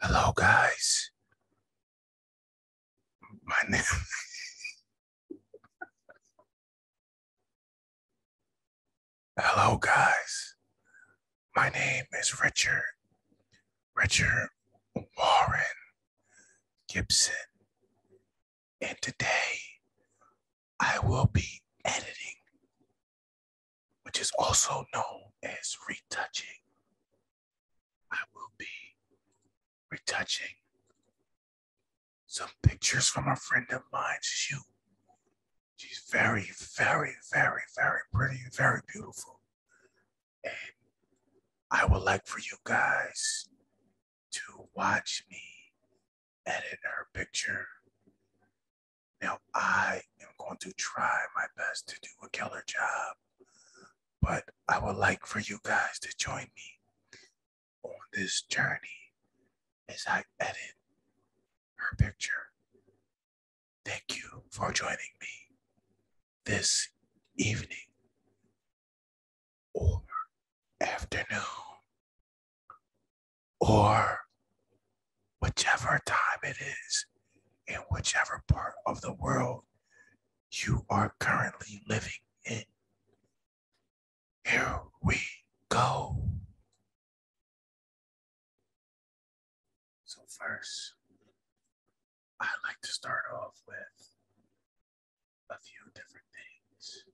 Hello, guys. My name. Hello, guys. My name is Richard. Richard Warren Gibson. And today I will be editing, which is also known as retouching. I will be retouching some pictures from a friend of mine, Shu. She's very, very, very, very pretty, very beautiful. And I would like for you guys to watch me edit her picture. Now, I am going to try my best to do a killer job, but I would like for you guys to join me on this journey as I edit her picture. Thank you for joining me this evening or afternoon or whichever time it is in whichever part of the world you are currently living in. Here we go. So, first, I like to start off with a few different things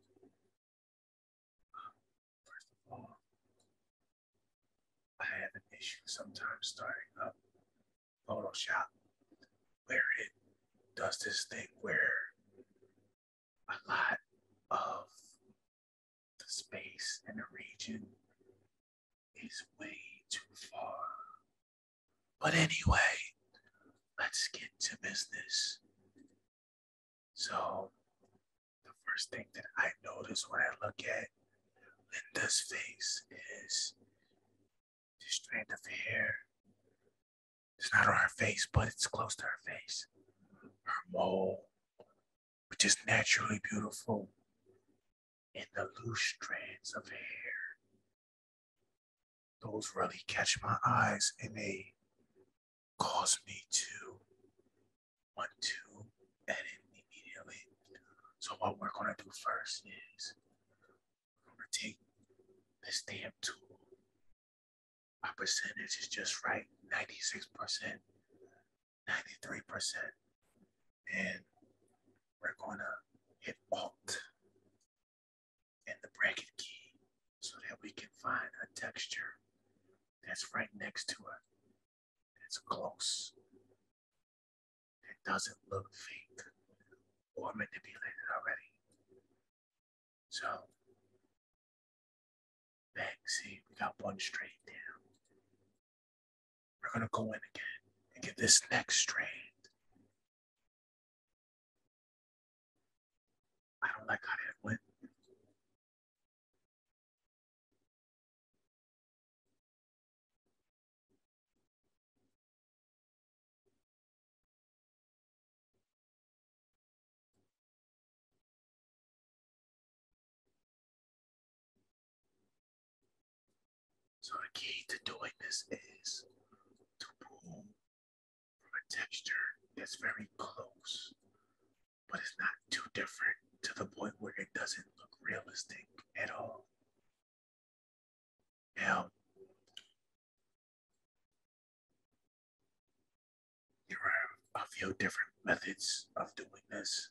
First of all, I have an issue sometimes starting up Photoshop where it does this thing where a lot of the space and the region is way too far. But anyway, let's get to business. So the first thing that I notice when I look at Linda's face is the strand of hair. It's not on her face, but it's close to her face. Her mole, which is naturally beautiful, and the loose strands of hair. Those really catch my eyes and they cause me to want to edit immediately. So what we're gonna do first is we're gonna take this damn tool. My percentage is just right, 96%, 93%. And we're gonna hit Alt and the bracket key so that we can find a texture that's right next to her, that's close, that doesn't look fake or manipulated already. So, back, see, we got one straight down. We're gonna go in again and get this next strand. I don't like how that went. So the key to doing this is to pull from a texture that's very close but it's not too different to the point where it doesn't look realistic at all. Hell, there are a few different methods of doing this.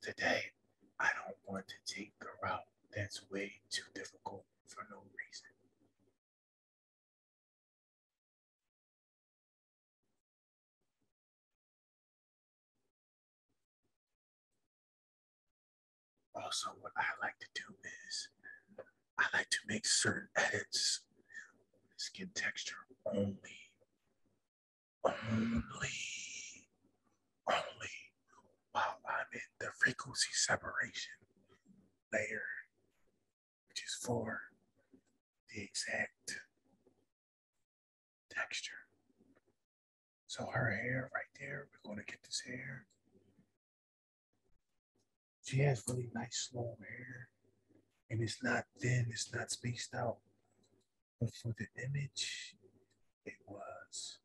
Today, I don't want to take the route that's way too difficult for no reason. Also, what I like to do is I like to make certain edits skin texture only. Only. Only while I'm in the frequency separation layer which is for the exact texture. So her hair right there, we're going to get this hair. She has really nice long hair and it's not thin, it's not spaced out. But for the image, it was.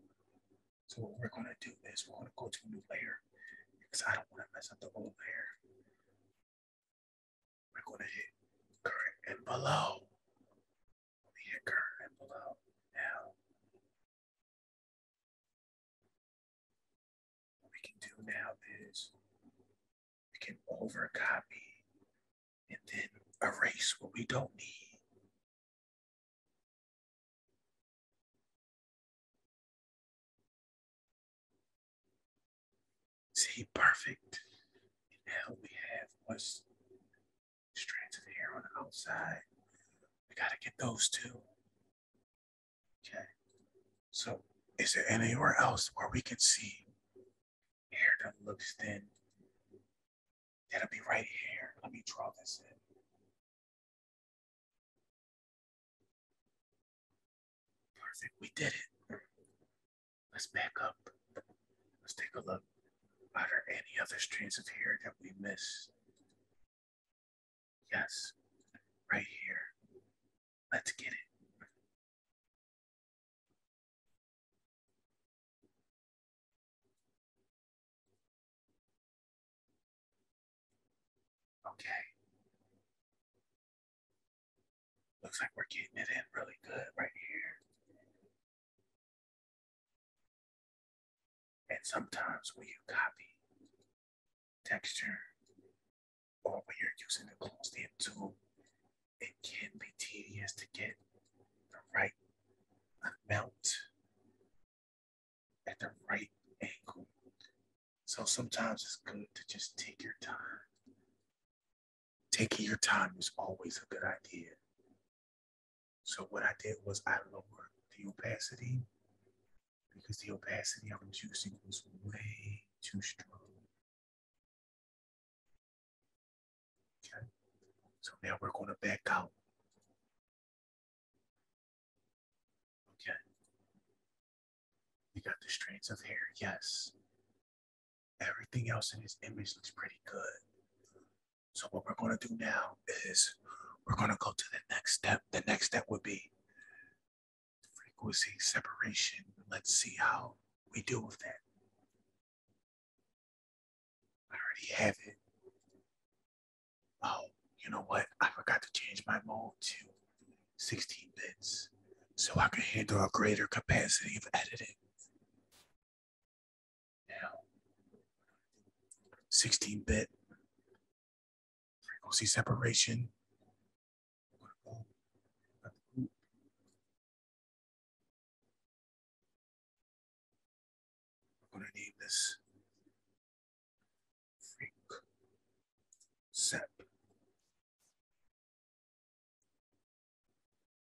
So what we're gonna do is we're gonna go to a new layer because I don't wanna mess up the old layer. We're going to hit current and below. We hit current and below now. What we can do now is we can over copy and then erase what we don't need. See, perfect? now we have what's strands of hair on the outside. We gotta get those two. Okay. So is there anywhere else where we can see hair that looks thin? That'll be right here. Let me draw this in. Perfect. We did it. Let's back up. Let's take a look. Are there any other strands of hair that we missed? Yes, right here. Let's get it. Okay. Looks like we're getting it in really good right here. And sometimes when you copy texture or when you're using the closed in tool, it can be tedious to get the right amount at the right angle. So sometimes it's good to just take your time taking your time is always a good idea. So what I did was I lowered the opacity because the opacity I was using was way too strong. Okay. So now we're going to back out. Okay. You got the strands of hair, yes. Everything else in his image looks pretty good. So what we're gonna do now is we're gonna go to the next step. The next step would be frequency separation. Let's see how we deal with that. I already have it. Oh, you know what? I forgot to change my mode too. 16 bits so I can handle a greater capacity of editing. Now, 16 bit frequency separation. I'm going to name this freak sep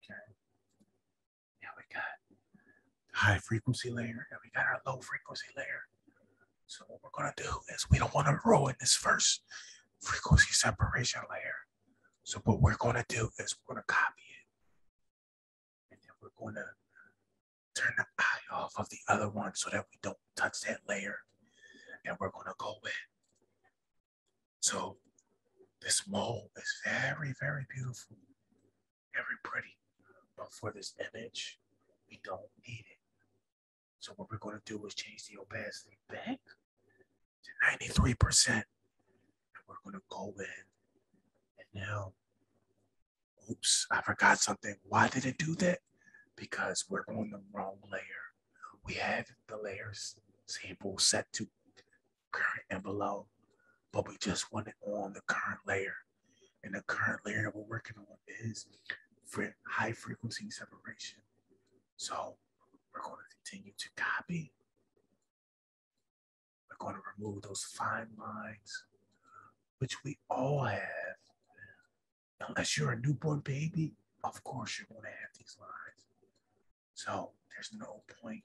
Okay. we got high frequency layer and we got our low frequency layer. So what we're gonna do is we don't wanna ruin this first frequency separation layer. So what we're gonna do is we're gonna copy it. And then we're gonna turn the eye off of the other one so that we don't touch that layer. And we're gonna go in so this mole is very, very beautiful, very pretty. But for this image, we don't need it. So what we're going to do is change the opacity back to 93%. And we're going to go in and now, oops, I forgot something. Why did it do that? Because we're on the wrong layer. We have the layers sample set to current and below, but we just want it on the current layer. And the current layer that we're working on is high frequency separation. So we're going to continue to copy. We're going to remove those fine lines, which we all have. Unless you're a newborn baby, of course you're going to have these lines. So there's no point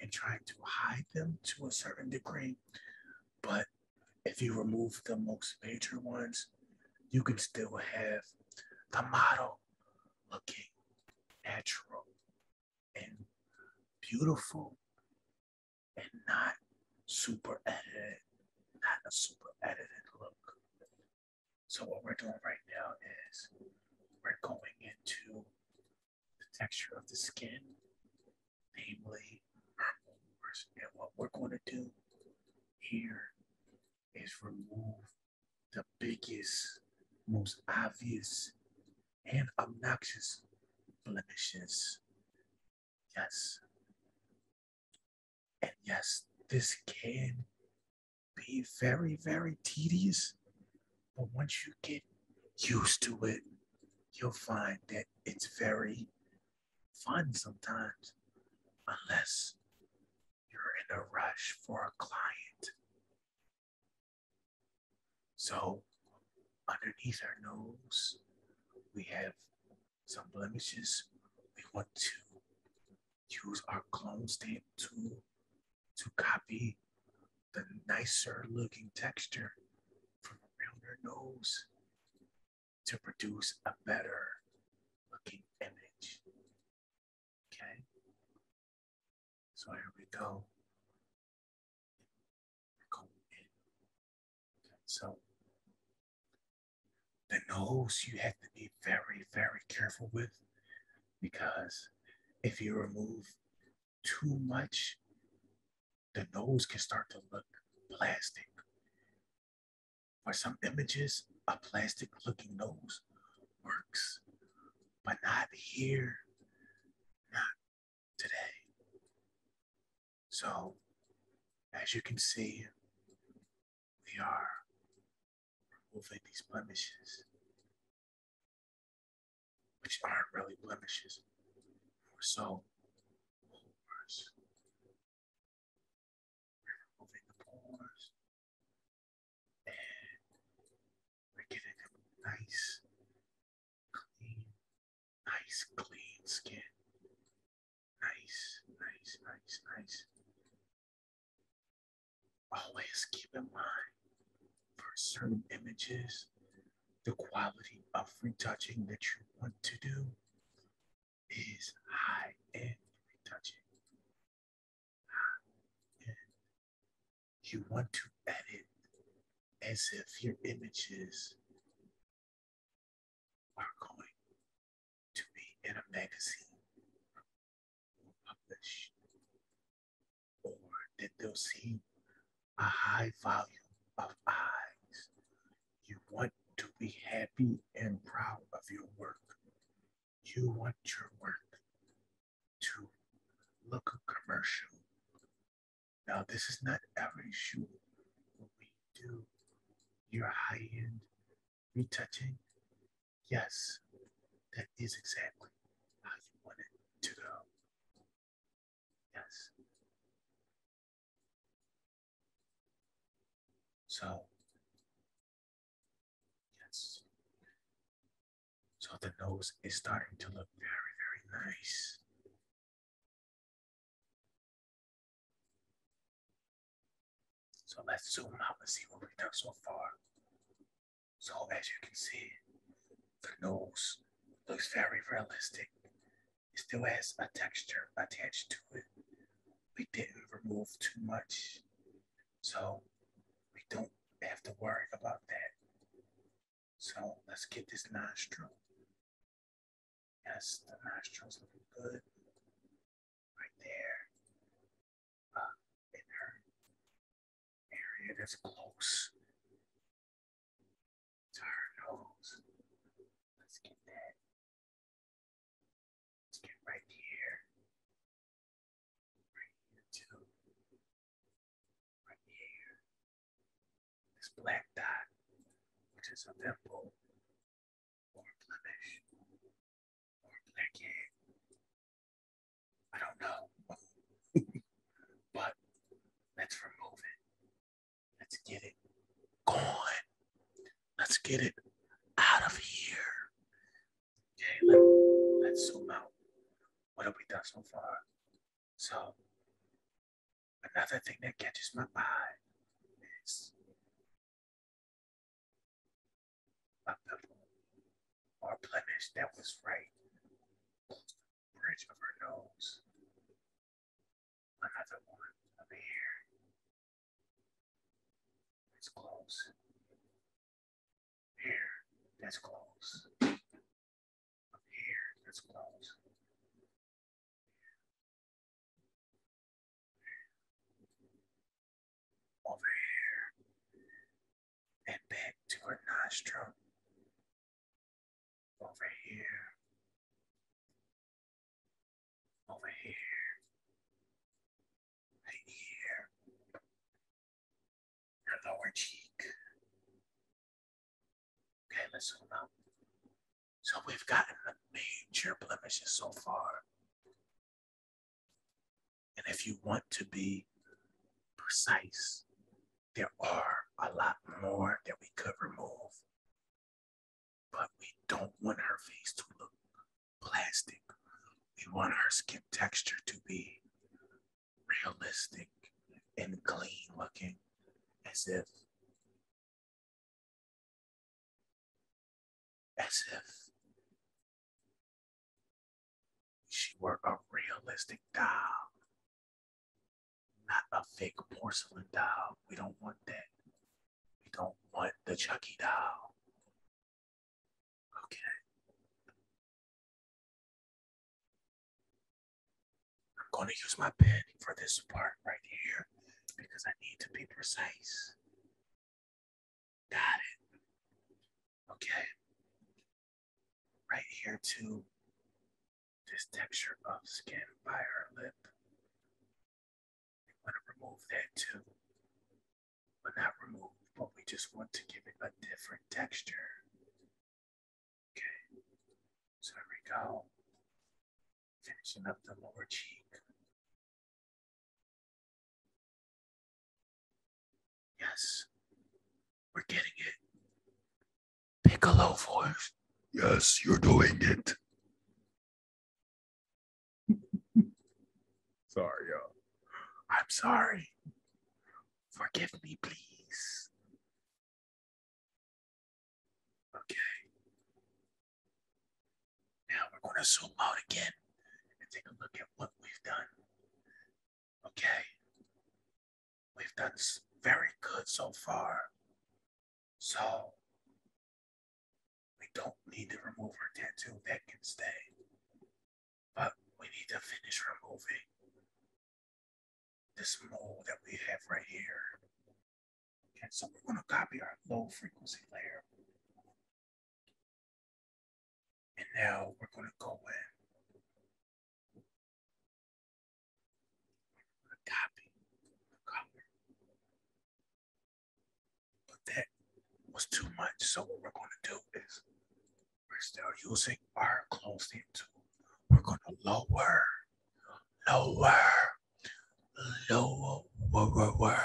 in trying to hide them to a certain degree. But if you remove the most major ones, you can still have the model looking natural and beautiful and not super edited, not a super edited look. So what we're doing right now is we're going into the texture of the skin, namely our pores. And what we're going to do here is remove the biggest, most obvious, and obnoxious blemishes. Yes. And yes, this can be very, very tedious. But once you get used to it, you'll find that it's very fun sometimes, unless you're in a rush for a client. So, underneath our nose, we have some blemishes. We want to use our clone stamp tool to copy the nicer looking texture from around her nose to produce a better looking image. Okay. So here we go. So the nose you have to be very, very careful with because if you remove too much, the nose can start to look plastic. For some images, a plastic looking nose works, but not here, not today. So, as you can see, we are removing these blemishes, which aren't really blemishes, more so pores. We're removing the pores, and we're getting nice, clean, nice, clean skin. Nice, nice, nice, nice always keep in mind for certain images the quality of retouching that you want to do is high end retouching. You want to edit as if your images are going to be in a magazine published? Or did those see a high volume of eyes? You want to be happy and proud of your work. You want your work to look commercial. Now, this is not every shoe. When we do your high end retouching, Yes, that is exactly how you want it to go. Yes. So, yes. So the nose is starting to look very, very nice. So let's zoom out and see what we've done so far. So as you can see, the nose looks very realistic. It still has a texture attached to it. We didn't remove too much. So we don't have to worry about that. So let's get this nostril. Yes, the nostril is looking good. Right there in their area that's close to her nose. Let's get that. Let's get right here. Right here, too. Right here. This black dot, which is a pimple or a blemish or a blackhead. I don't know. but let's remove it. Let's get it gone. Let's get it out of here. Okay, let, us zoom out. What have we done so far? So, another thing that catches my eye is of the or blemish that was right close to the bridge of her nose. Another one up here. It's close. Here, that's close. Up here, that's close. Over here, and back to her nostril. Over here. Over here. Right here. Her lower cheek. Okay, let's So we've gotten the major blemishes so far. And if you want to be precise, there are a lot more that we could remove. But we don't want her face to look plastic. We want her skin texture to be realistic and clean looking, as if, as if she were a realistic doll, not a fake porcelain doll. We don't want that. We don't want the Chucky doll. Okay. I'm going to use my pen for this part right here because I need to be precise. Got it. Okay. Right here too. This texture of skin by our lip. We want to remove that too. But not remove, but we just want to give it a different texture. Okay. So here we go. Finishing up the lower cheek. Yes. We're getting it. Piccolo voice. Yes, you're doing it. sorry, y'all. I'm sorry. Forgive me, please. Okay. Now we're going to zoom out again and take a look at what we've done. Okay. We've done very good so far. So we don't need to remove our tattoo. That can stay. But we need to finish removing this mole that we have right here. Okay, so we're going to copy our low frequency layer. And now we're going to go in. We're going to copy the But that was too much. So what we're going to do is we're still using our closed in tool. We're going to lower, lower, lower, lower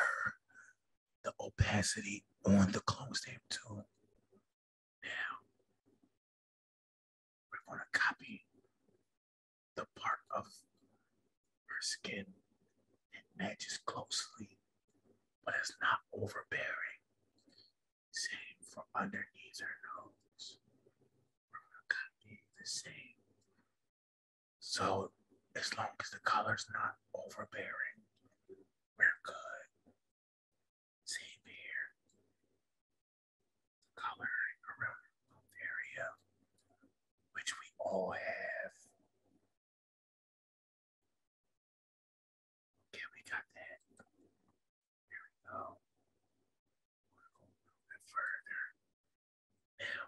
the opacity on the closed in tool. Now, we're going to copy the part of her skin that matches closely, but it's not overbearing. Same for underneath her nose. We're going to copy the same. So, as long as the color's not overbearing, we're good. Same here. The coloring around the area, which we all have. Okay, we got that. There we go. We're going a little bit further. Now,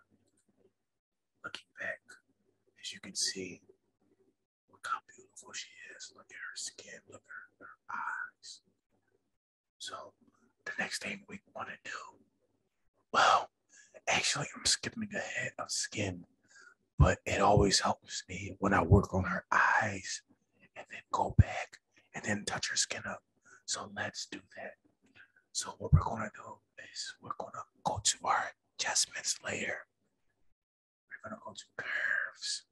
looking back, as you can see, Look how beautiful she is. Look at her skin. Look at her, eyes. So the next thing we want to do, well, actually, I'm skipping ahead of skin, but it always helps me when I work on her eyes and then go back and then touch her skin up. So let's do that. So what we're gonna do is we're gonna go to our adjustments layer. We're going to go to curves.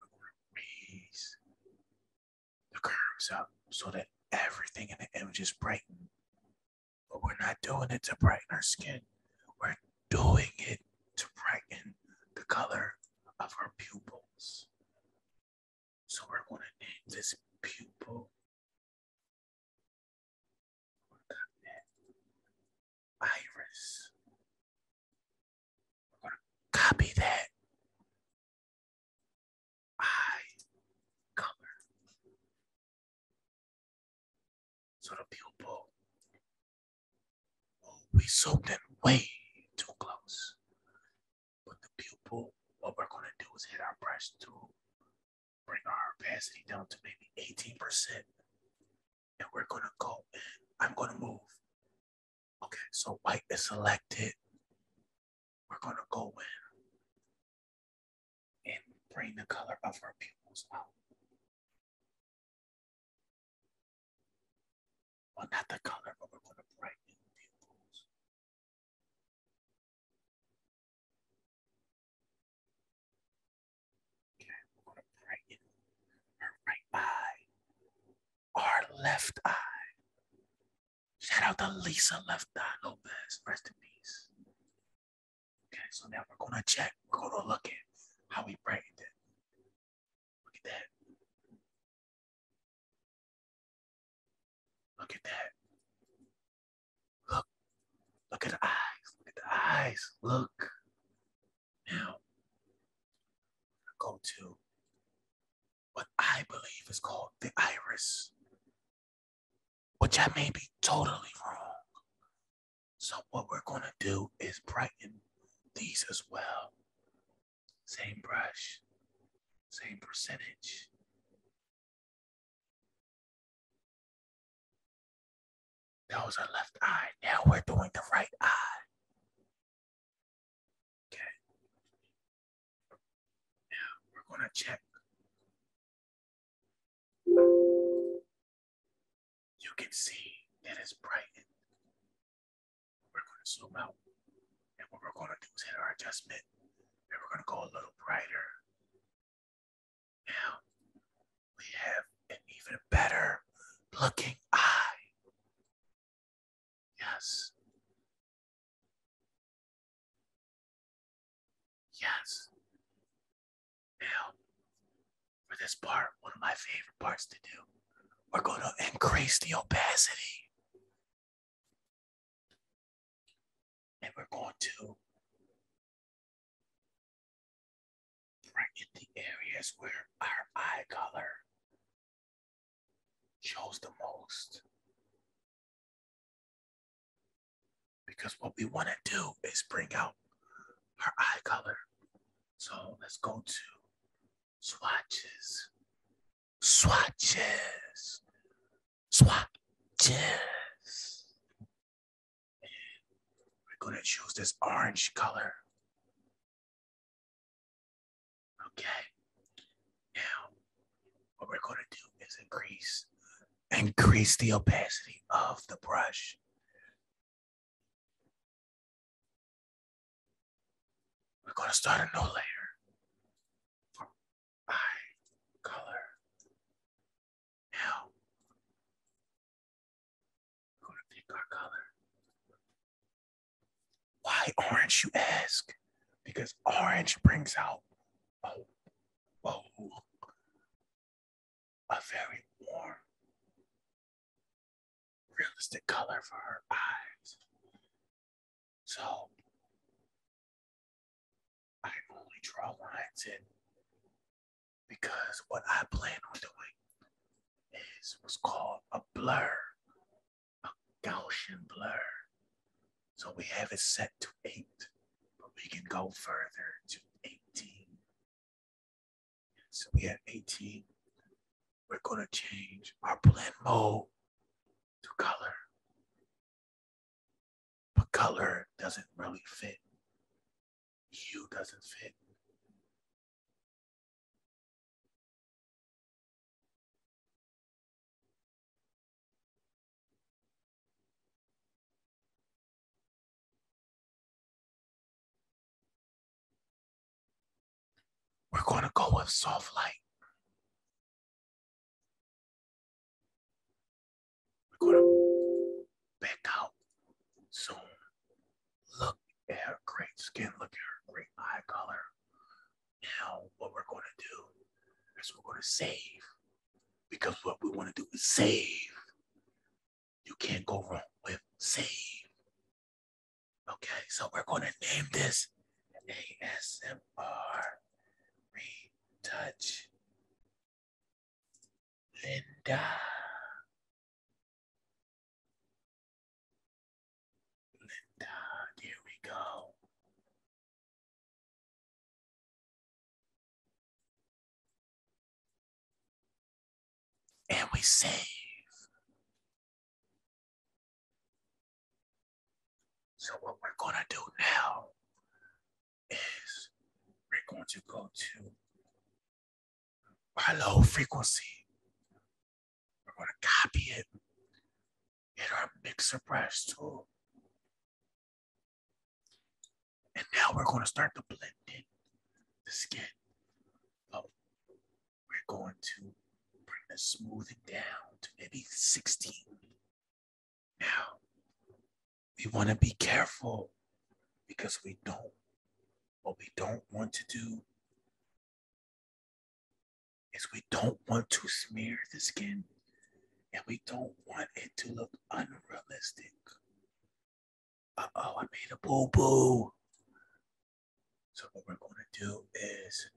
We're going to raise the curves up so that everything in the image is brightened. But we're not doing it to brighten our skin. We're doing it to brighten the color of our pupils. So we're going to name this pupil iris. We're going copy that eye color. So the pupil will be zoomed in way too close. But the pupil, what we're going to do is hit our brush to bring our opacity down to maybe 18% and we're gonna go. I'm gonna move. Okay, so white is selected. We're gonna go in and bring the color of our pupils out. Well, not the color, but we're gonna brighten the pupils. Okay, we're going to brighten her right eye, our left eye. Shout out to Lisa Left Eye Lopez. Rest in peace. Okay, so now we're going to check. We're going to look at how we brightened it. Look at that. Look at that. Look. Look at the eyes. Look at the eyes. Look. Now, go to what I believe is called the iris, which I may be totally wrong. So, what we're going to do is brighten these as well. Same brush, same percentage. That was our left eye. Now we're doing the right eye. Okay. Now we're going to check. You can see that it's brightened. We're going to zoom out. And what we're going to do is hit our adjustment. And we're going to go a little brighter. Now we have an even better looking eye. Yes. Yes. Now, for this part, one of my favorite parts to do, we're going to increase the opacity. And we're going to Right in the areas where our eye color shows the most. Because what we want to do is bring out our eye color. So let's go to swatches, swatches, swatches. And we're going to choose this orange color. Okay. Now, what we're going to do is increase increase the opacity of the brush. We're going to start a new layer for eye color. Now, we're gonna pick our color. Why orange, you ask? Because orange brings out oh, oh, a very warm, realistic color for her eyes. So I only draw lines in because what I plan on doing is what's called a blur, a Gaussian blur. So we have it set to eight, but we can go further to 18. So we have 18. We're gonna change our blend mode to color. But color doesn't really fit. You doesn't fit. We're going to go with soft light. We're going to back out soon. Look yeah, great skin. Look at her, great eye color. Now, what we're going to do is we're going to save because what we want to do is save. You can't go wrong with save. Okay, so we're going to name this ASMR retouch. Linda. Here we go. And we save. So what we're going to do now is we're going to go to our low frequency. We're going to copy it in our mixer brush tool. And now we're going to start to blend in the skin. Oh, we're going to bring the smoothing down to maybe 16. Now, we want to be careful because we don't what we don't want to do is we don't want to smear the skin and we don't want it to look unrealistic. oh, I made a boo boo. So, what we're going to do is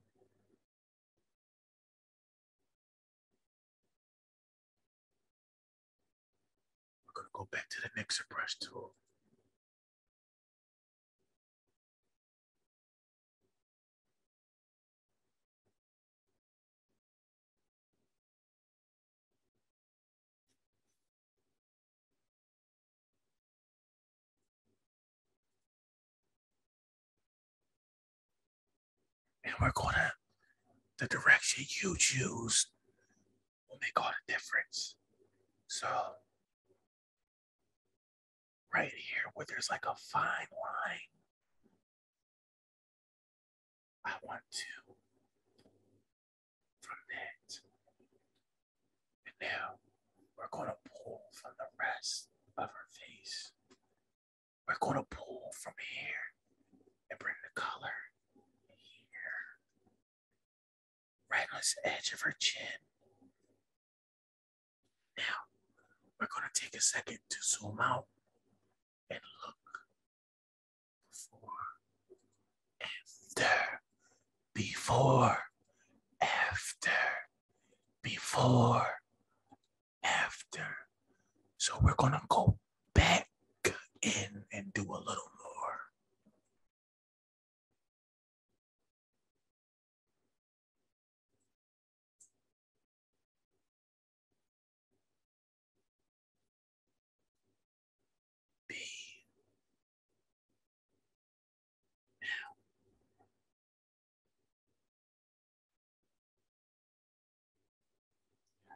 we're going to go back to the mixer brush tool and we're gonna the direction you choose will make all the difference so right here where there's like a fine line. I want to from that. And now we're going to pull from the rest of her face. We're going to pull from here and bring the color here right on the edge of her chin. Now, we're going to take a second to zoom out and look before, after, before, after, before, after. So we're going to go back in and do a little more. Be now.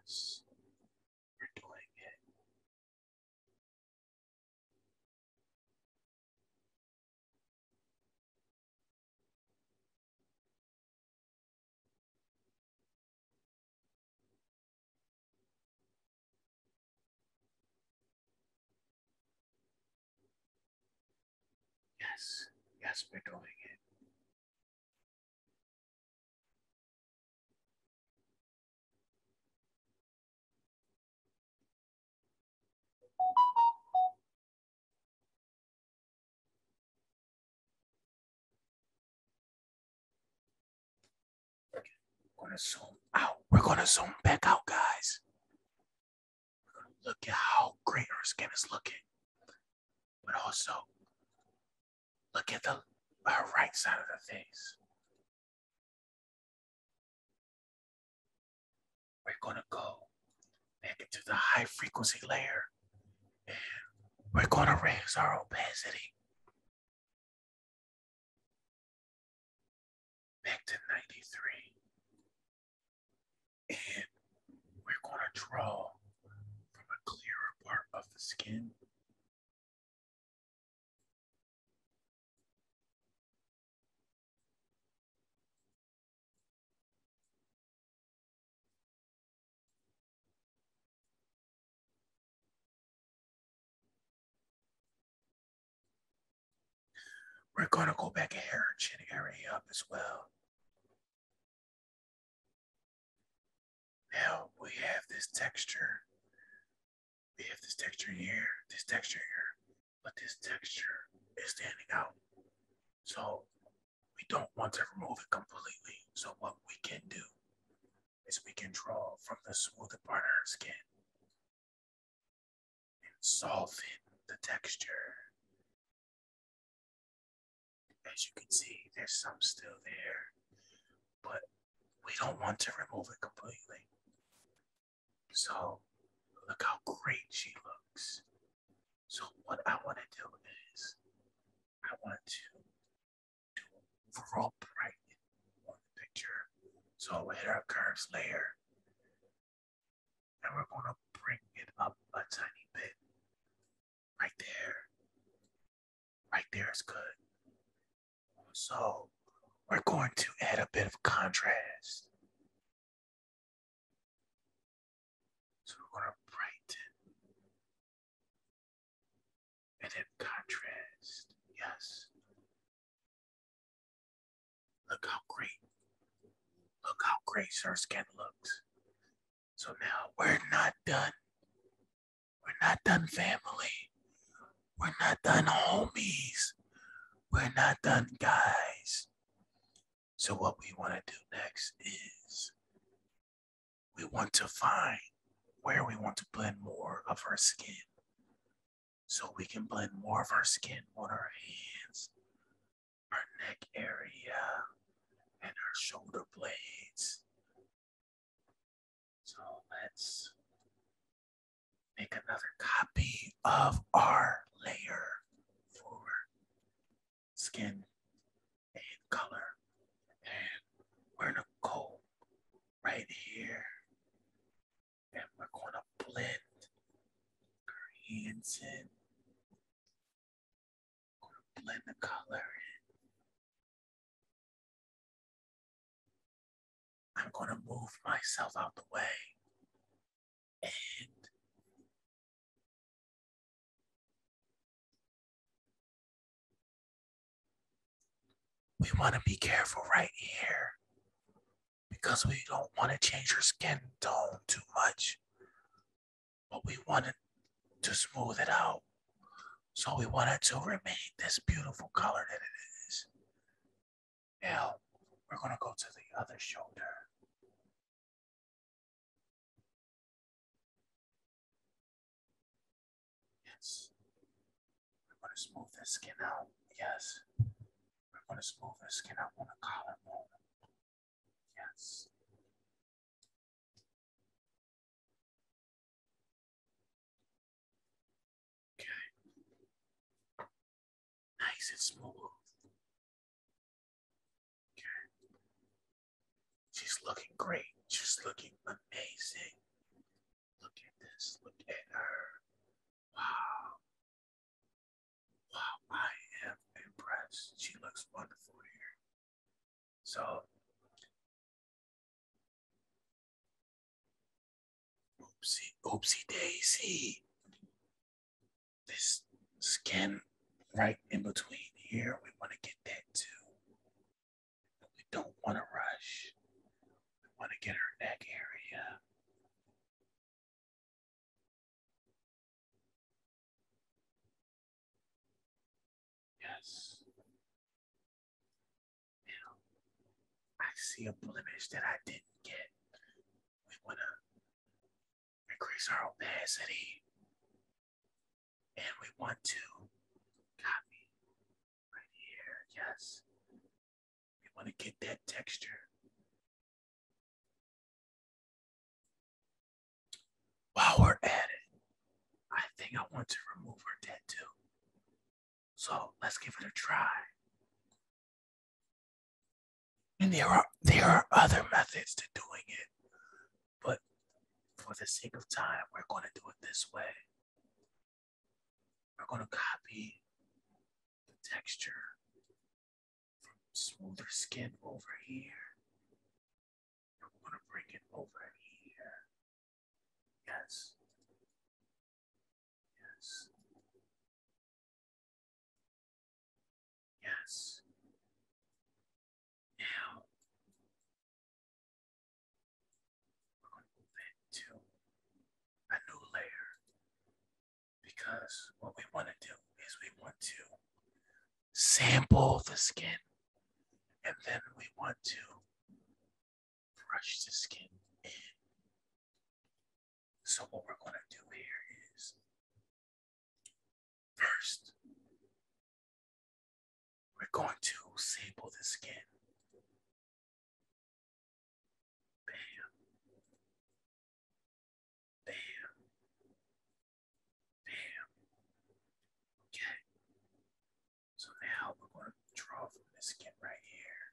Yes, we're doing it. Yes, yes, we're doing it. We're gonna zoom out. We're gonna zoom back out, guys. look at how great our skin is looking. But also look at the uh, right side of the face. We're going to go back into the high frequency layer and we're going to raise our opacity back to 93. And we're going to draw from a clearer part of the skin we're going to go back hair and chin area up as well. Now we have this texture. We have this texture here, this texture here but this texture is standing out. So we don't want to remove it completely. So what we can do is we can draw from the smoother part of our skin and soften the texture. As you can see, there's some still there, but we don't want to remove it completely. So look how great she looks. So what I want to do is I want to do overall bright on the picture. So we'll hit our curves layer and we're going to bring it up a tiny bit. Right there. Right there is good. So we're going to add a bit of contrast. So we're going to brighten and then contrast. Yes. Look how great. Look how great her skin looks. So now we're not done. We're not done, family. We're not done, homies. We're not done, guys. So, what we want to do next is we want to find where we want to blend more of our skin. So, we can blend more of our skin on our hands, our neck area, and our shoulder blades. So, let's make another copy of our layer for skin and color. And we're gonna go right here and we're gonna blend greens in. gonna blend the color in. I'm gonna move myself out the way we want to be careful right here because we don't want to change your skin tone too much, but we wanted to smooth it out. So we wanted to remain this beautiful color that it is. Now we're going to go to the other shoulder. Yes. We're going to smooth the skin out. Yes. We're going to smooth the skin out on the collarbone. Yes. Okay nice and smooth. Okay. She's looking great. She's looking amazing. Look at this. Look at her. Wow. Wow, I am impressed. She looks wonderful here. So, oopsie, oopsie daisy this skin right in between here. We want to get that too. we don't want to rush. We want to get her neck area. Yes. Now, I see a blemish that I didn't get. We want to increase our opacity, and we want to copy right here. Yes, we want to get that texture. While we're at it, I think I want to remove her tattoo. So let's give it a try. And there are there are other methods to doing it, but for the sake of time, we're going to do it this way. We're going to copy the texture from smoother skin over here. we're going to bring it over here. Yes. Yes. Yes. Now we're going to move into a new layer because what we want to do is we want to sample the skin and then we want to brush the skin so, what we're going to do here is first, we're going to sample the skin. Bam. Bam. Bam. Okay. So now we're going to draw from this skin right here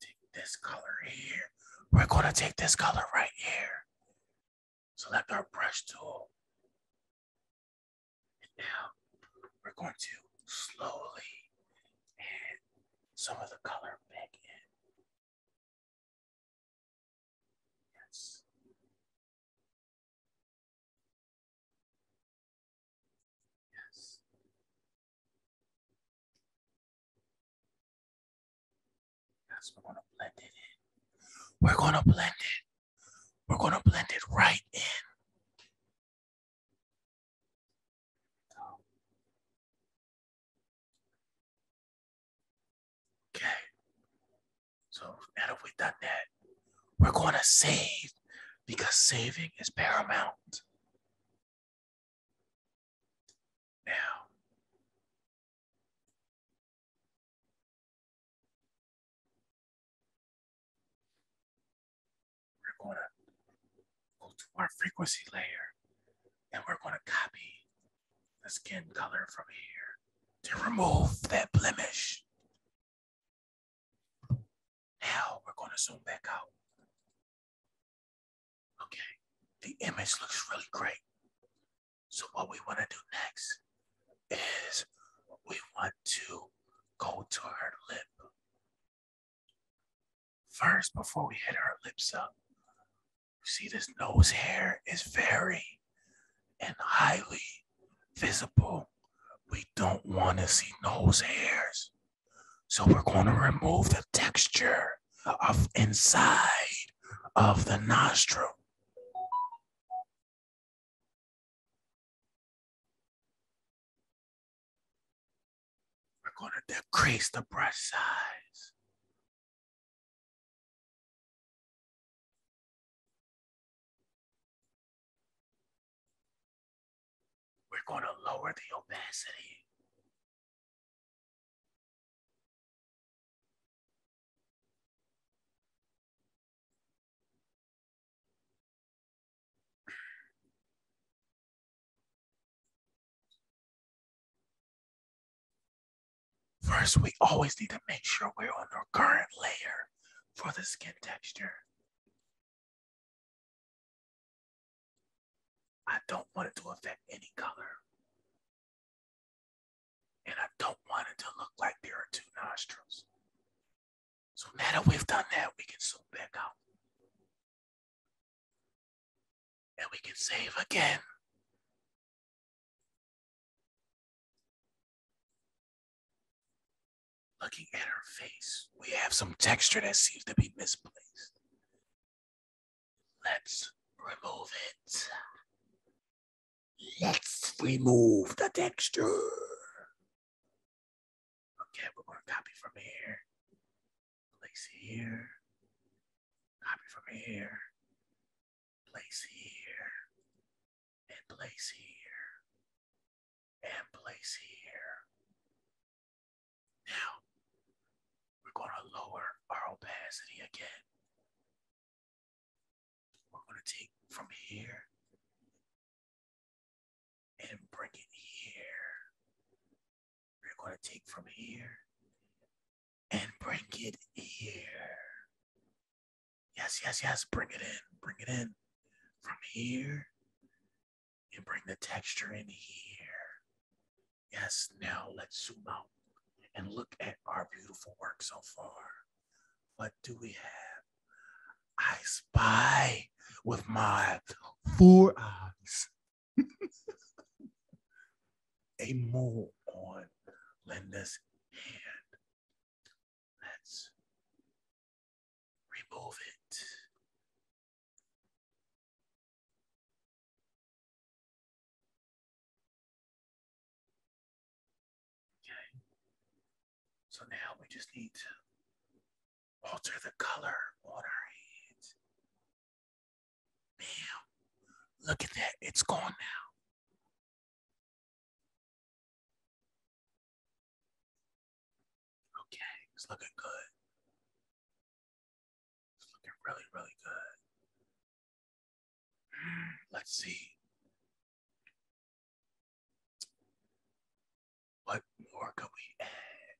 take this color here. We're going to take this color right here select our brush tool. And now we're going to slowly add some of the color back in. Yes. Yes we're gonna blend it in. We're gonna blend it. We're gonna blend it right in. Okay. So now that we've done that, we're gonna save because saving is paramount now. We're going to go to our frequency layer and we're going to copy the skin color from here to remove that blemish. Now we're going to zoom back out. Okay, the image looks really great. So what we want to do next is we want to go to our lip. First, before we hit our lips up, see this nose hair is very and highly visible. We don't want to see nose hairs. So we're going to remove the texture of inside of the nostril. We're going to decrease the brush size. We're going to lower the opacity. First, we always need to make sure we're on the current layer for the skin texture. I don't want it to affect any color. And I don't want it to look like there are two nostrils. So now that we've done that, we can zoom back out. And we can save again. Looking at her face, we have some texture that seems to be misplaced. Let's remove it. Let's remove the texture. Okay, we're going to copy from here. Place here. Copy from here. Place here. And place here. And place here. Now, we're going to lower our opacity again. We're going to take from here and bring it here. We're going to take from here and bring it here. Yes, yes, yes. Bring it in. Bring it in from here and bring the texture in here. Yes, now let's zoom out and look at our beautiful work so far. What do we have? I spy with my four eyes a mole on Linda's hand. Let's remove it. Okay. So now we just need alter the color on our hands. Bam. Look at that. It's gone now. Okay. It's looking good. It's looking really, really good. Let's see. What more could we add?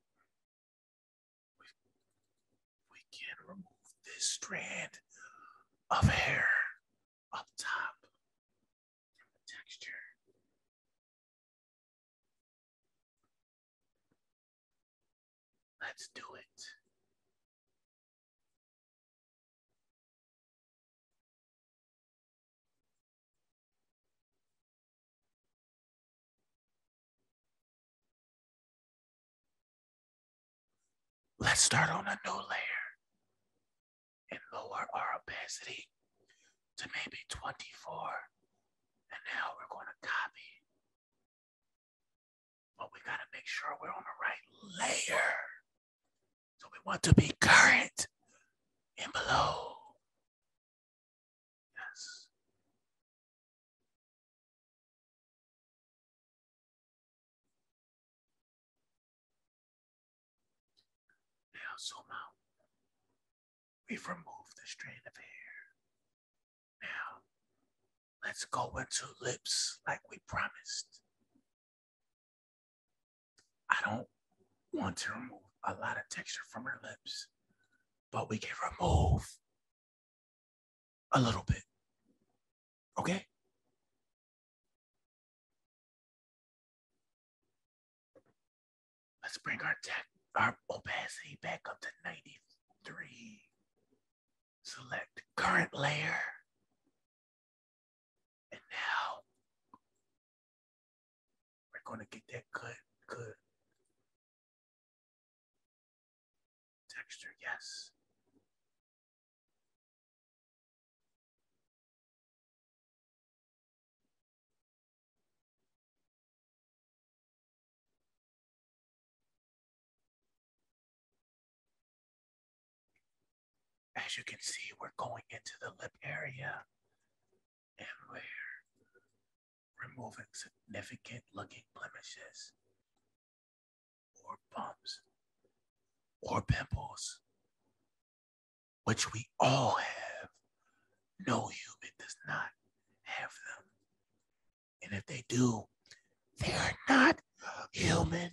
We, can remove this strand of hair up top texture. Let's do it. Let's start on a new layer and lower our opacity to maybe 24. And now we're going to copy but we gotta make sure we're on the right layer. So we want to be current and below. Yes. Now zoom out. We've the strand of hair. Now let's go into lips like we promised. I don't want to remove a lot of texture from her lips, but we can remove a little bit. Okay? Let's bring our tech, our opacity back up to 93 select current layer. And now we're going to get that good, good texture. Yes. As you can see, we're going into the lip area and we're removing significant looking blemishes or bumps or pimples, which we all have. No human does not have them. And if they do, they are not human.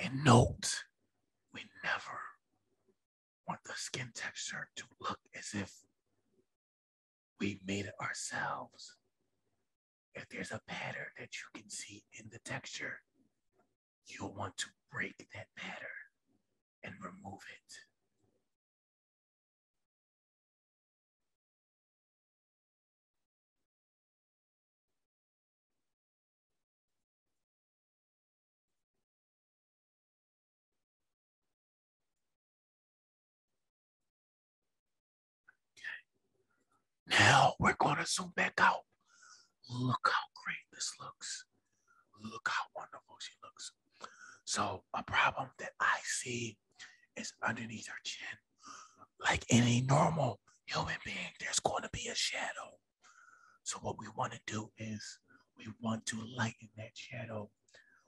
And note, we never want the skin texture to look as if we made it ourselves. If there's a pattern that you can see in the texture, you'll want to break that pattern and remove it. Now we're going to zoom back out. Look how great this looks. Look how wonderful she looks. So a problem that I see is underneath her chin, like any normal human being, there's going to be a shadow. So what we want to do is we want to lighten that shadow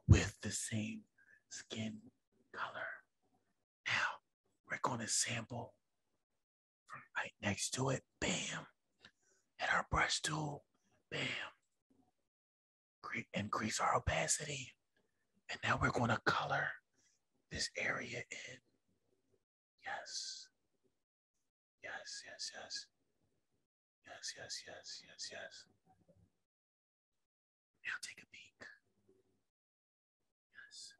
with the same skin color. Now we're going to sample from right next to it. Bam. At our brush tool. Bam increase our opacity. And now we're going to color this area in. Yes. Yes, yes, yes. Yes, yes, yes, yes, yes. Now take a peek. Yes.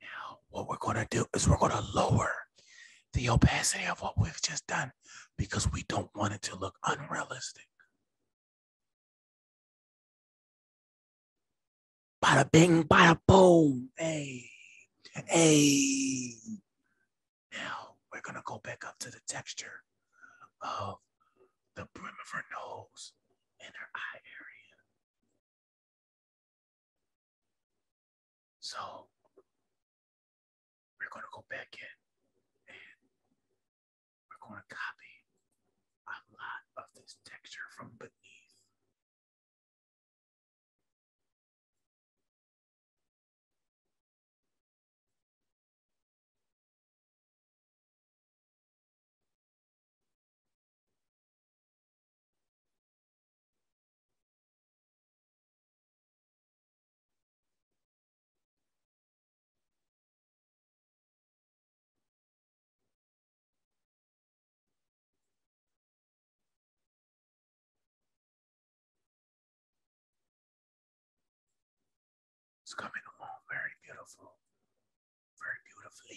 Now, what we're going to do is we're going to lower the opacity of what we've just done because we don't want it to look unrealistic. Bada bing, bada boom. Hey, hey. Now we're going to go back up to the texture of the brim of her nose and her eye area. So we're going to go back in and we're going to copy a lot of this texture from beneath. It's coming along very beautiful, very beautifully.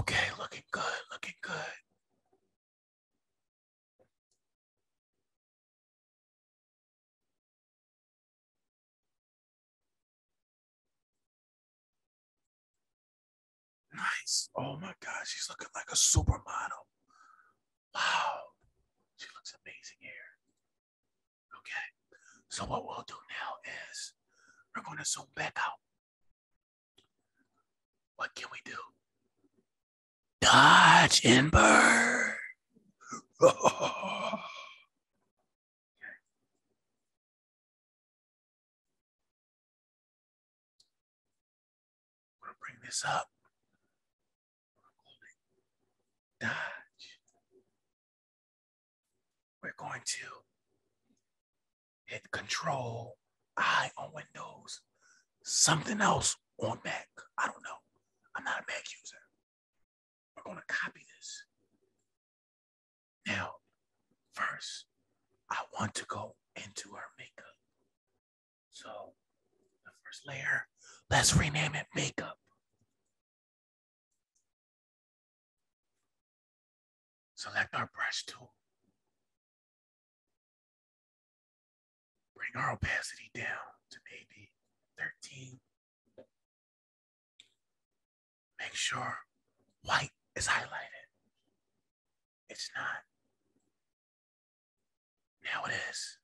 Okay, looking good, looking good. Nice. Oh my God, she's looking like a supermodel. Wow, she looks amazing here. Okay, so what we'll do now is we're going to zoom back out. What can we do? Dodge and burn. I'm gonna bring this up. Dodge. We're going to hit Control I on Windows, something else on Mac. I don't know. I'm not a Mac user. We're going to copy this. Now, first, I want to go into her makeup. So the first layer, let's rename it makeup. Select our brush tool. Bring our opacity down to maybe 13. Make sure white is highlighted. It's not. Now it is.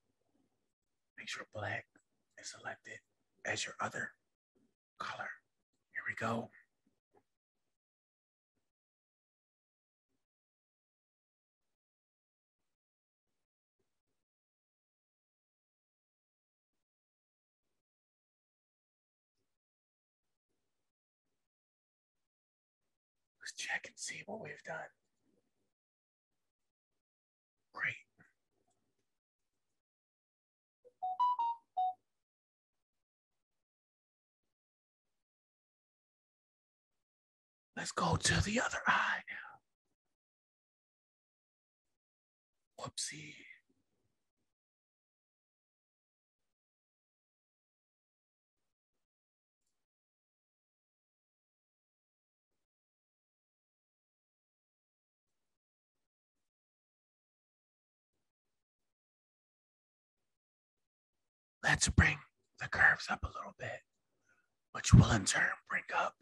Make sure black is selected as your other color. Here we go. Let's check and see what we've done. Great. Let's go to the other eye now. Whoopsie. Let's bring the curves up a little bit, which will in turn bring up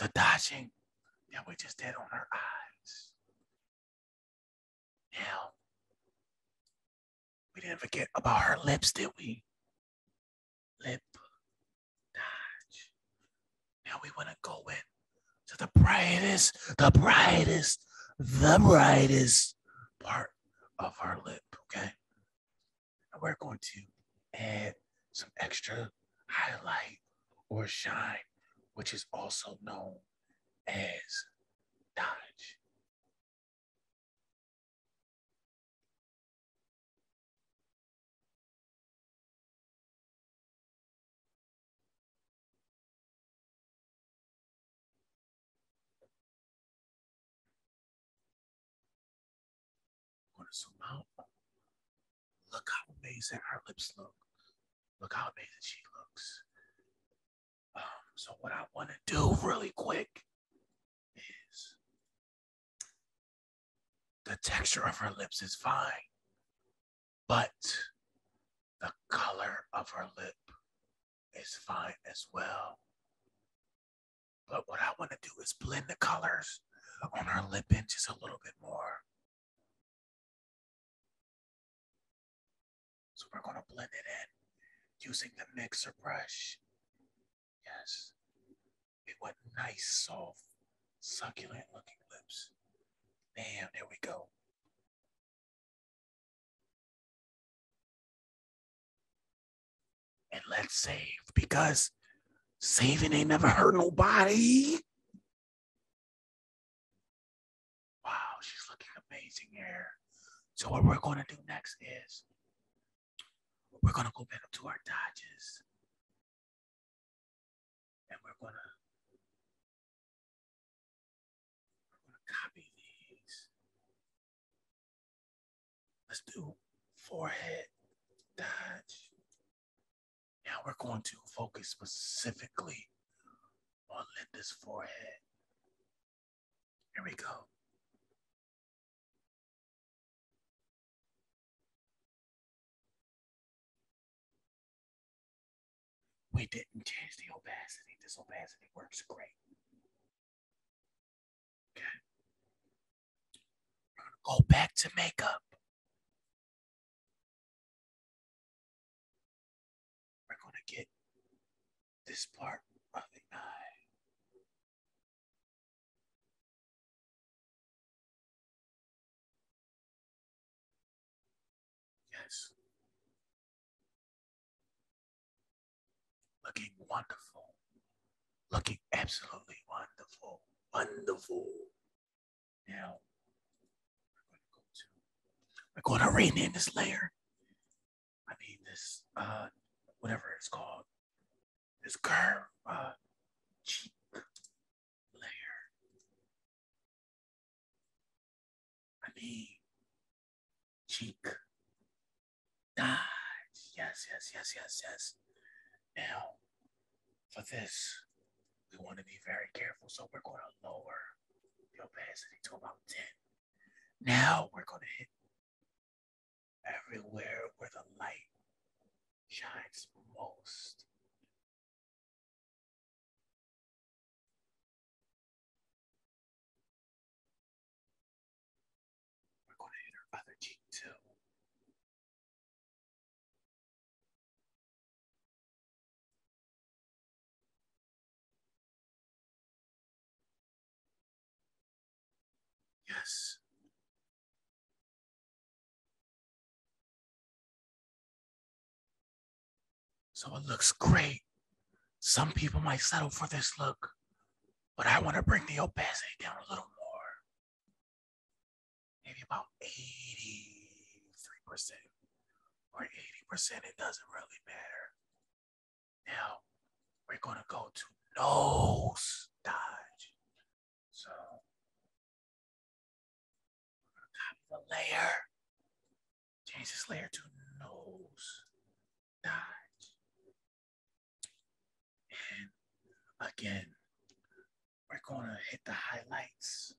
the dodging that we just did on our eyes. Now, we didn't forget about her lips, did we? Lip Dodge. Now we want to go in to the brightest, the brightest, the brightest part of our lip, okay? And we're going to add some extra highlight or shine, which is also known as Dodge zoom out. Look how amazing her lips look. Look how amazing she looks. Um, so what I want to do really quick is the texture of her lips is fine, but the color of her lip is fine as well. But what I want to do is blend the colors on her lip in just a little bit more. So we're going to blend it in using the mixer brush Yes. It was nice, soft, succulent looking lips. Damn, there we go. And let's save because saving ain't never hurt nobody. Wow, she's looking amazing here. So what we're gonna do next is we're going to go back to our Dodges. And we're going to we're going to copy these. Let's do forehead Dodge. Now we're going to focus specifically on Linda's forehead. Here we go. We didn't change the opacity. This opacity works great. Okay. We're gonna go back to makeup. We're gonna get this part of the eye Yes. Looking wonderful. Looking absolutely wonderful. Wonderful. Now, we're going to go to, we're going to rename this layer. I mean, this, uh, whatever it's called, this curve uh, cheek layer. I mean, cheek. Dodge. Yes, yes, yes, yes, yes. Now, for this, we want to be very careful. So we're going to lower the opacity to about 10. Now we're going to hit everywhere where the light shines most. We're going to hit our other cheek too. Yes. So it looks great. Some people might settle for this look, but I want to bring the opacity down a little more. Maybe about 83% or 80%. It doesn't really matter. Now, we're going to go to nose dodge. So we're gonna copy the layer, change this layer to nose dodge. And again, we're gonna hit the highlights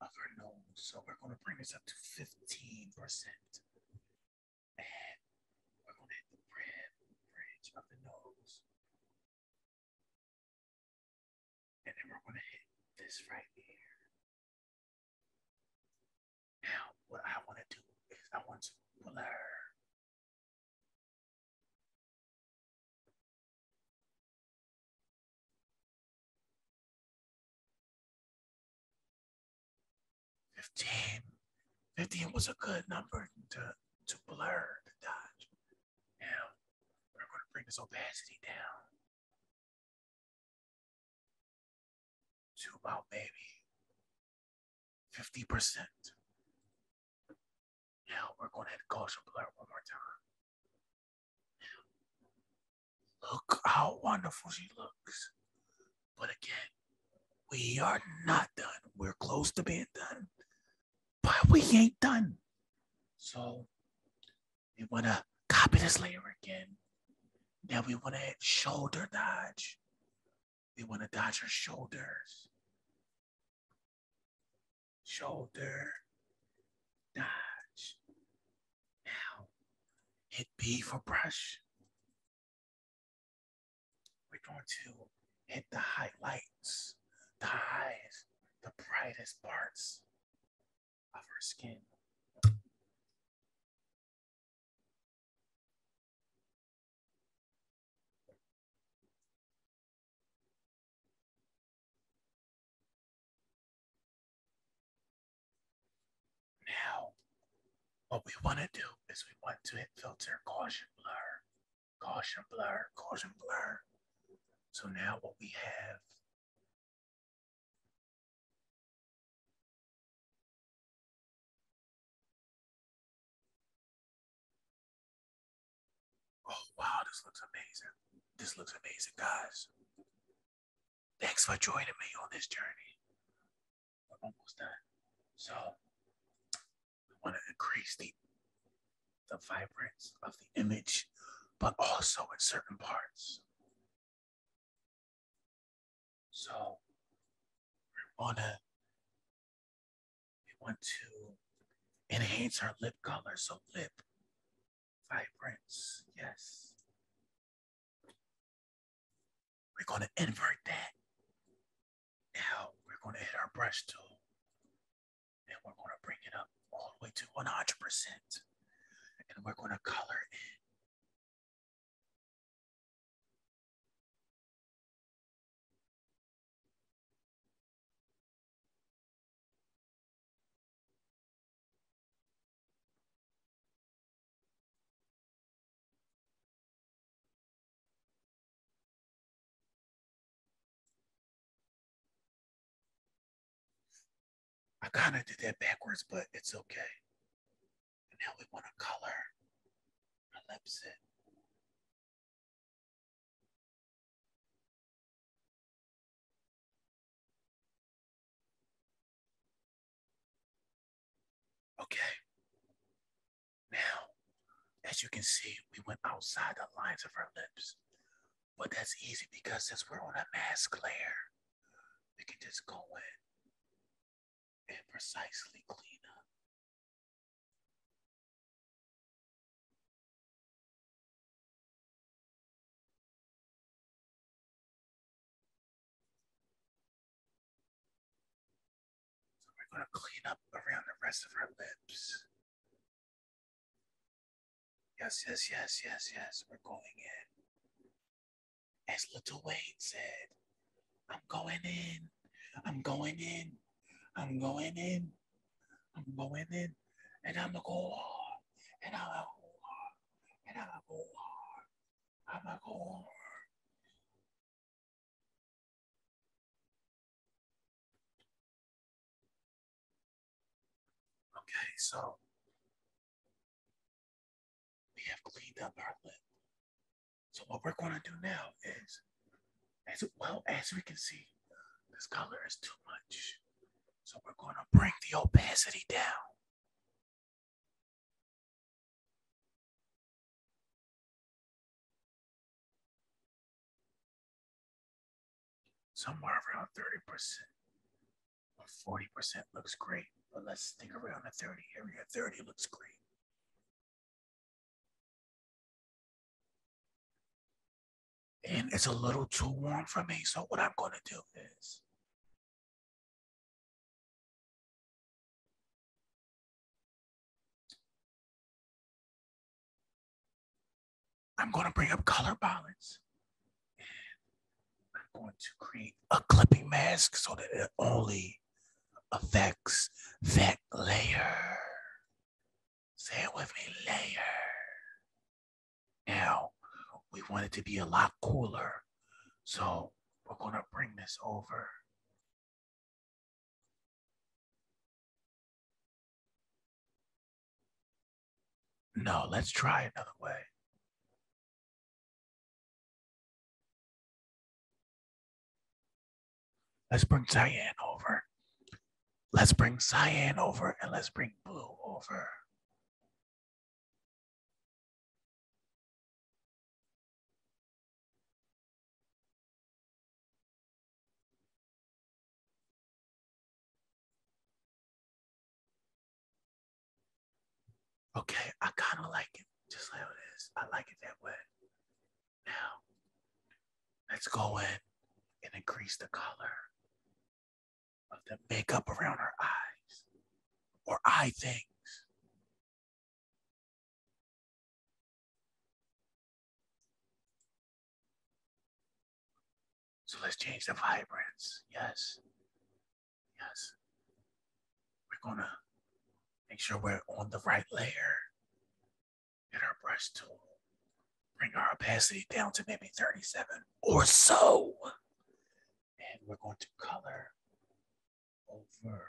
of her nose. So we're gonna bring this up to 15%. And we're going to hit the bridge of the nose. And then we're going to hit this right here. Now, what I want to do is I want to blur. Fifteen. 15 was a good number to to blur the dodge. Now, we're going to bring this opacity down to about maybe 50%. Now, we're going to add Gaussian blur one more time. look how wonderful she looks. But again, we are not done. We're close to being done, but we ain't done. So we want to copy this layer again. Now we want to shoulder dodge. We want to dodge our shoulders. Shoulder dodge. Now hit B for brush. We're going to hit the highlights, the highs, the brightest parts of our skin. Now, what we want to do is we want to hit filter Gaussian blur Caution blur, caution blur. So now what we have Oh, wow, this looks amazing. This looks amazing, guys. Thanks for joining me on this journey. We're almost done. So, we want to increase the, the vibrance of the image, but also in certain parts. So we want to we want to enhance our lip color. So lip vibrance, yes. We're going to invert that. Now we're going to hit our brush tool and we're going to bring it up all the way to 100%. And we're going to color in. I kind of did that backwards, but it's okay. now we want to color our lips in. Okay, now, as you can see, we went outside the lines of our lips. But that's easy because since we're on a mask layer, we can just go in and precisely clean up. So we're going to clean up around the rest of our lips. Yes, yes, yes, yes, yes. We're going in. As Little Wayne said, I'm going in. I'm going in. I'm going in. I'm going in. And I'm going to go hard. And I'm going to go hard. And I'm going to go hard. I'm going to go hard. Okay, so we have cleaned up our lip. So what we're going to do now is, as well as we can see, this color is too much. So we're going to bring the opacity down. Somewhere around 30% or 40% looks great, but let's stick around the 30 area. 30 looks great. And it's a little too warm for me, so what I'm going to do is I'm going to bring up color balance. I'm going to create a clipping mask so that it only affects that layer. Say it with me, layer. Now, we want it to be a lot cooler. So we're going to bring this over no, let's try another way. Let's bring Cyan over. Let's bring Cyan over and let's bring Blue over. Okay, I kind of like it just how it is. I like it that way. Now, let's go in and increase the color of the makeup around her eyes or eye things. So let's change the vibrance. Yes. Yes. We're going to make sure we're on the right layer. Get our brush tool. Bring our opacity down to maybe 37 or so. And we're going to color over.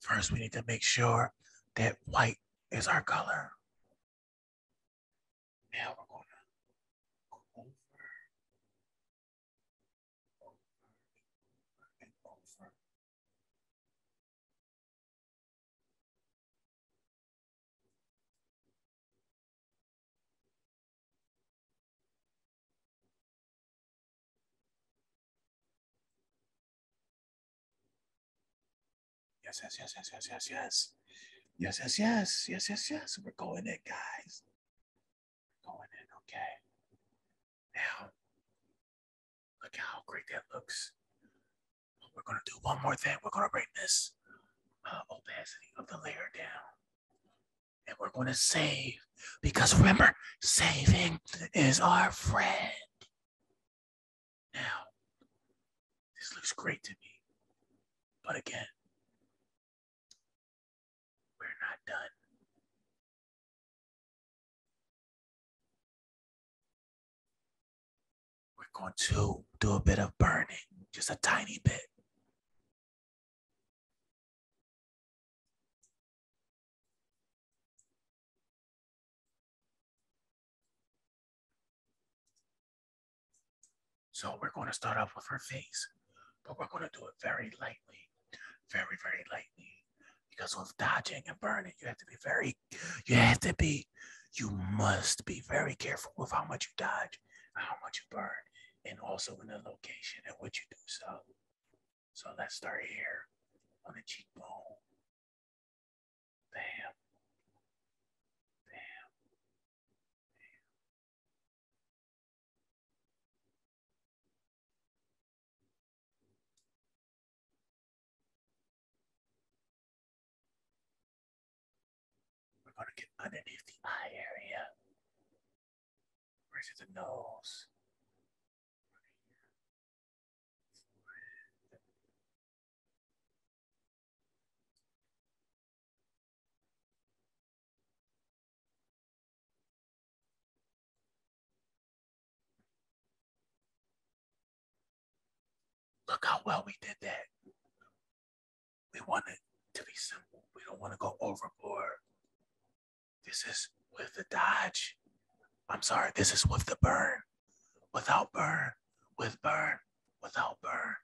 First, we need to make sure that white is our color. Now we're going to go over, over, over, and over. Yes, yes, yes, yes, yes, yes, yes. Yes, yes, yes, yes, yes, yes. We're going in, guys. We're going in, okay. Now, look how great that looks. We're going to do one more thing. We're going to bring this uh, opacity of the layer down. And we're going to save because remember, saving is our friend. Now, this looks great to me. But again, we're not done. We're going to do a bit of burning, just a tiny bit. So we're going to start off with her face, but we're going to do it very lightly, very, very lightly. Because with dodging and burning, you have to be very, you have to be, you must be very careful with how much you dodge, how much you burn, and also in the location and what you do so. So let's start here on the cheekbone. Bam. Bam. Bam. We're going to get underneath the eye area. Right to the nose. Look how well we did that. We want to be simple. We don't want to go overboard. This is with the dodge. I'm sorry, this is with the burn without burn, with burn, without burn,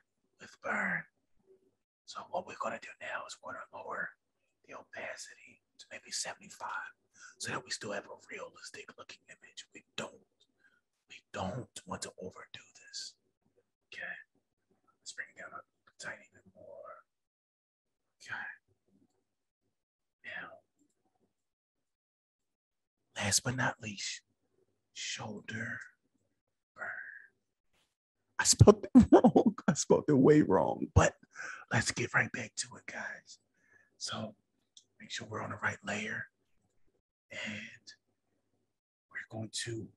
with burn. So what we're gonna do now is we're gonna lower the opacity to maybe 75 so that we still have a realistic looking image. We don't, we don't want to overdo this. Okay, let's bring it down a tiny bit more. Okay. Now, Last but not least, shoulder burn. I spelled it wrong. I spelled it way wrong, but let's get right back to it, guys. So make sure we're on the right layer and we're going to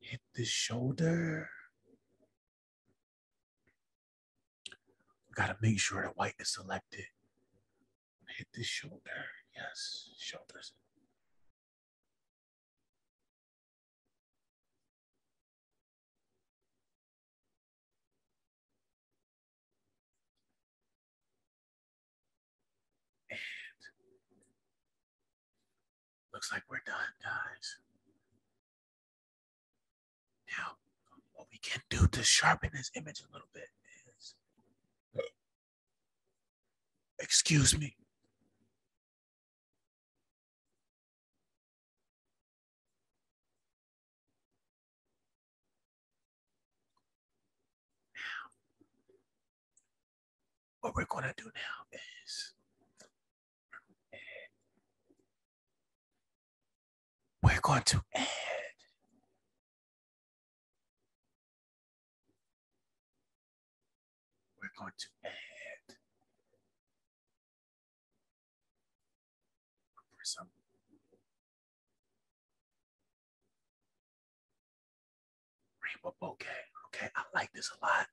hit the shoulder. got to make sure the white is selected. Hit the shoulder. Yes, shoulders. And looks like we're done, guys. Now, what we can do to sharpen this image a little bit is Excuse me. what we're going to do now is we're going to add we're going to add prism. Rainbow bouquet. Okay, I like this a lot.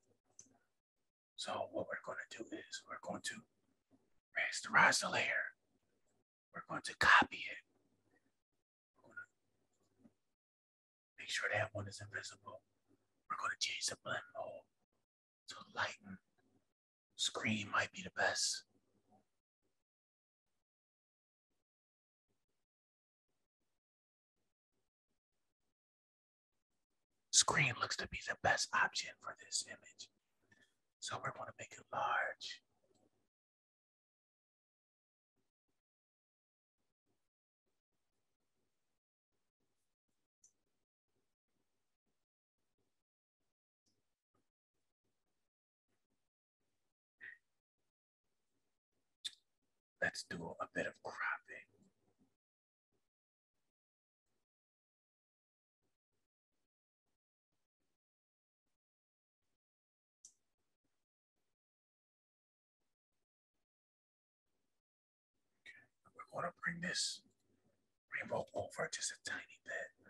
So what we're going to do is we're going to rasterize the layer. We're going to copy it. Make sure that one is invisible. We're going to change the blend mode to lighten. Screen might be the best. Screen looks to be the best option for this image. So we're going to make it large. Let's do a bit of cropping. Okay, we're going to bring this rainbow over just a tiny bit.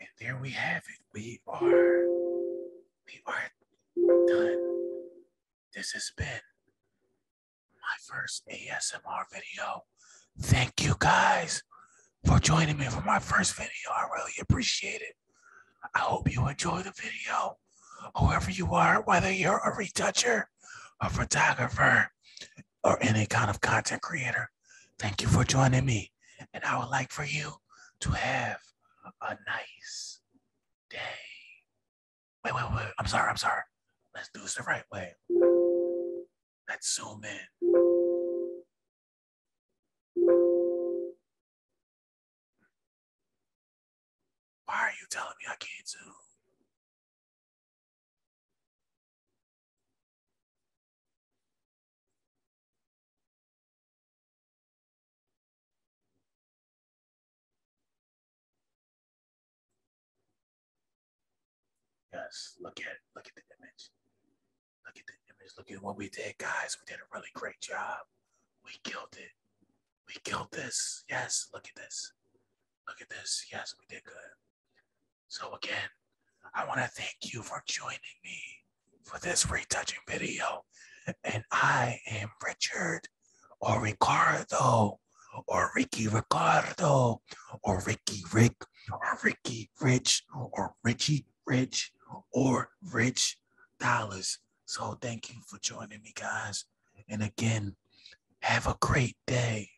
And there we have it. We are, we are done. This has been my first ASMR video. Thank you guys for joining me for my first video. I really appreciate it. I hope you enjoy the video. Whoever you are, whether you're a retoucher, a photographer, or any kind of content creator, thank you for joining me. And I would like for you to have a nice day. Wait, wait, wait. I'm sorry. I'm sorry. Let's do it the right way. Let's zoom in. Why are you telling me I can't zoom? Yes, look at look at the image. Look at the image. Look at what we did, guys. We did a really great job. We killed it. We killed this. Yes, look at this. Look at this. Yes, we did good. So, again, I want to thank you for joining me for this retouching video. And I am Richard or Ricardo or Ricky Ricardo or Ricky Rick or Ricky Rich or Richie Rich or Rich dollars. So thank you for joining me, guys. And again, have a great day.